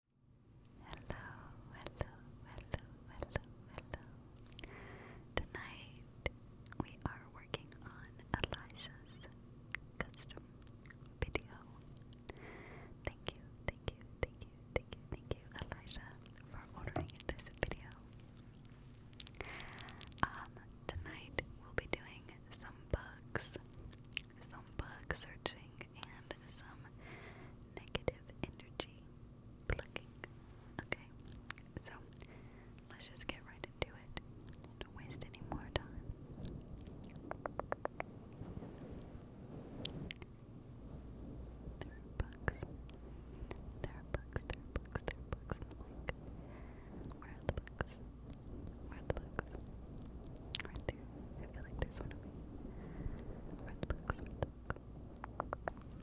Hello, hello, hello, hello, hello. Tonight we are working on Elijah's custom video. Thank you, thank you, thank you, thank you, thank you, Elijah, for ordering this video. Um, tonight we'll be doing some bugs some bug searching, and some negative energy Okay, so let's just get right into it. Don't waste any more time. There are bugs. There are bugs, there are bugs, there are bugs Where are the bugs? Where are the bugs? Right there. I feel like there's one of me. Red looks, red looks.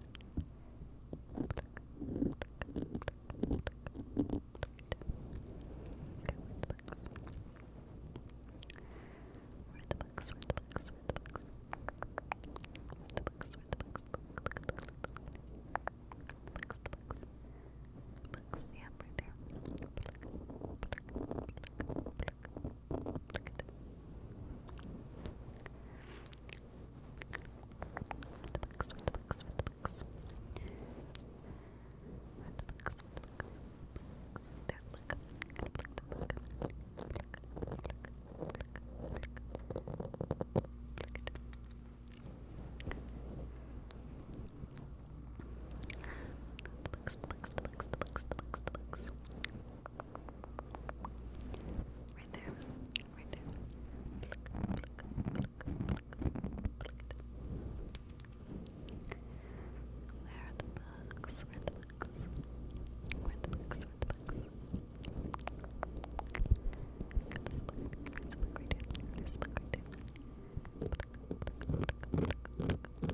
right there. Pluck, pluck, pluck, pluck, pluck, pluck, pluck, pluck, pluck, pluck, pluck, pluck, pluck, pluck, pluck, pluck, Look, look at the books, the books, the books. The books, the books. There, look. Look, look, look. Look, look, look. Look at it. The books, the books, the books, the books, the books, the books. Right there, right there. Pluck, pluck, pluck, pluck, pluck it. Where are the books? Where are the books? Where are the books? Where are the books? Got this book. This book right here. This book right there. Pluck, pluck, pluck, pluck, pluck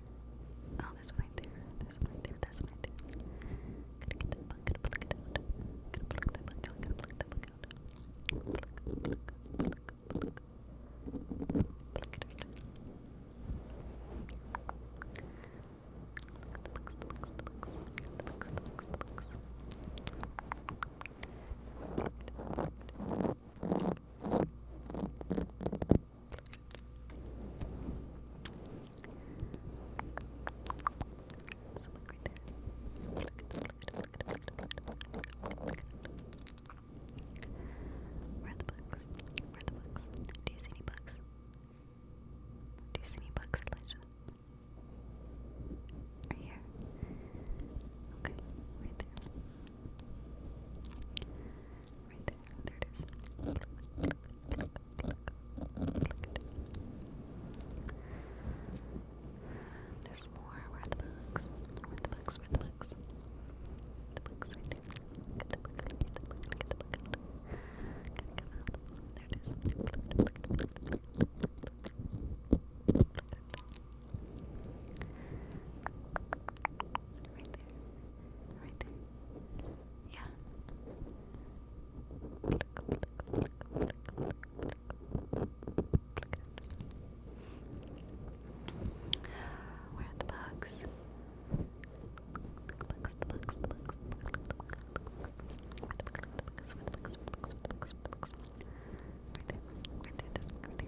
Oh, there's one right there. There's one right there. There's one right there. Gotta get that bug. Gotta pluck it out. Gotta pluck that bug out. Gotta pluck that bug out. Pluck, pluck, pluck, pluck. Pluck it out. Look at the bugs, the bugs, the bugs. The bugs, the bugs, the bugs. Pluck it, pluck it, pluck it. Where the bugs? Where the bugs? Do you see any bugs? Do you see any bugs, Right here. Okay, right there. Right there. There it is. There's more. Where are the books? Where the books? Where the books? The books there. it is. Right there. Right there. Yeah. Look, look, look, look, look, look. Where are the bugs? The bugs, the bugs, the bugs, the bugs, the bugs, the bugs. Where the bugs, the bugs, where the bugs, where the bugs, where the bugs, where the bugs. Right there, right there, this, right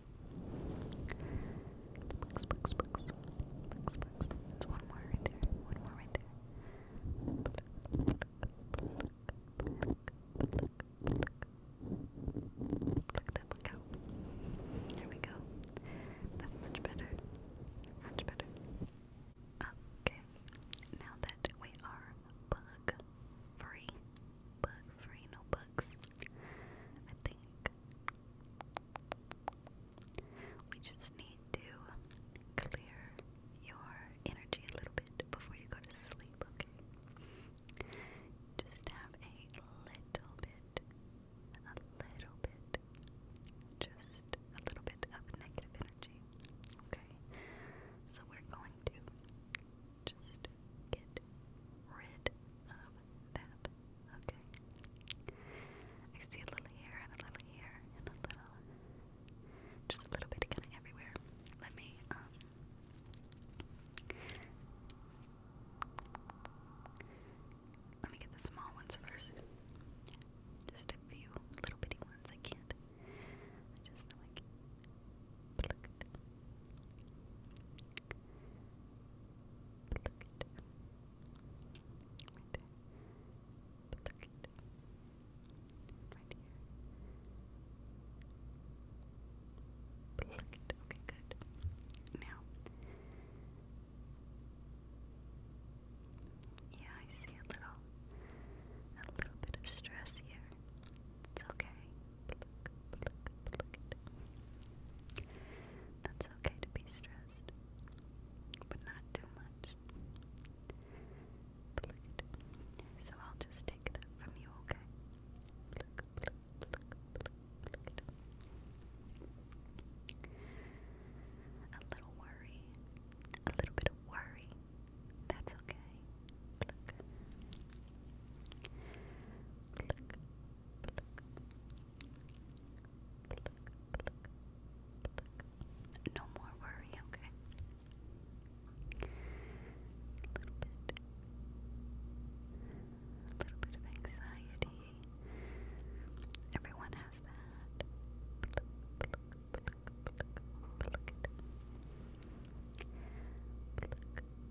Bugs, bugs, bugs. Bugs, bugs. There's one more right there. One more right there. Look that look out. There we go. That's much better. Much better. Okay. Now that we are bug free. Bug free, no bugs. I think we just need to clear your energy a little bit before you go to sleep, Just have a little bit, a little bit, just a little bit of negative energy, okay? So we're going to just get rid of that. Okay. I see a little here and a little here and a little, just a little bit kind of everywhere. Let me, um, let me get the small ones first. Just a few little bitty ones. I can't. I just know I can't. Pluck it. Right there. Pluck it. Right here. Pluck it. Okay, good. Now. Yeah, I see a little, a little bit of stress here. It's okay. That's okay to be stressed, but not too much. So I'll just take that from you, okay? A little worry, a little bit of worry. That's okay. No more worry, okay? A little bit. A little bit of anxiety. Everyone has that.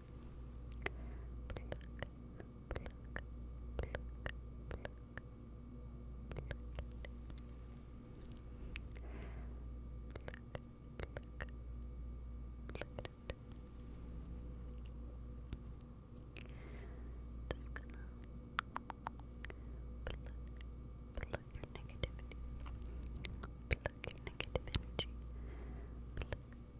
Pluck, negative energy. No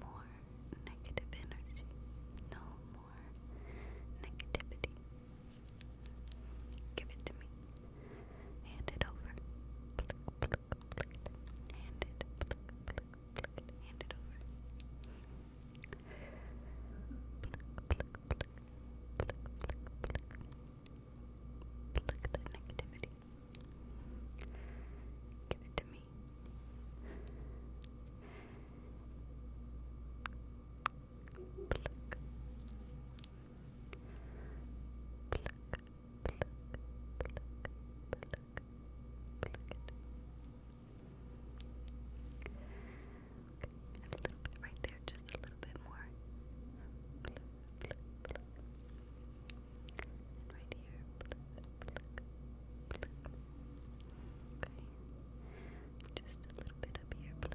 more negative energy. No more negativity. Give it to me. Hand it over hand it, hand it over. Pluck that negativity. Give it to me. Pluck. Pluck pluck, pluck, a little bit right there, just a little bit more. right here, Okay, just a little bit up here,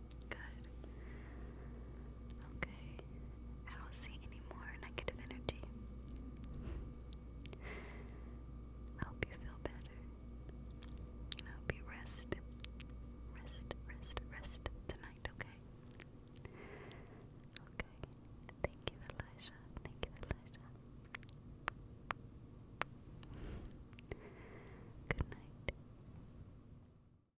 Good. Okay. I don't see any more negative energy. I you feel better. And you rest. Rest, rest, rest tonight, okay? Okay. Thank you, Elijah. Thank you, Elijah. Good night.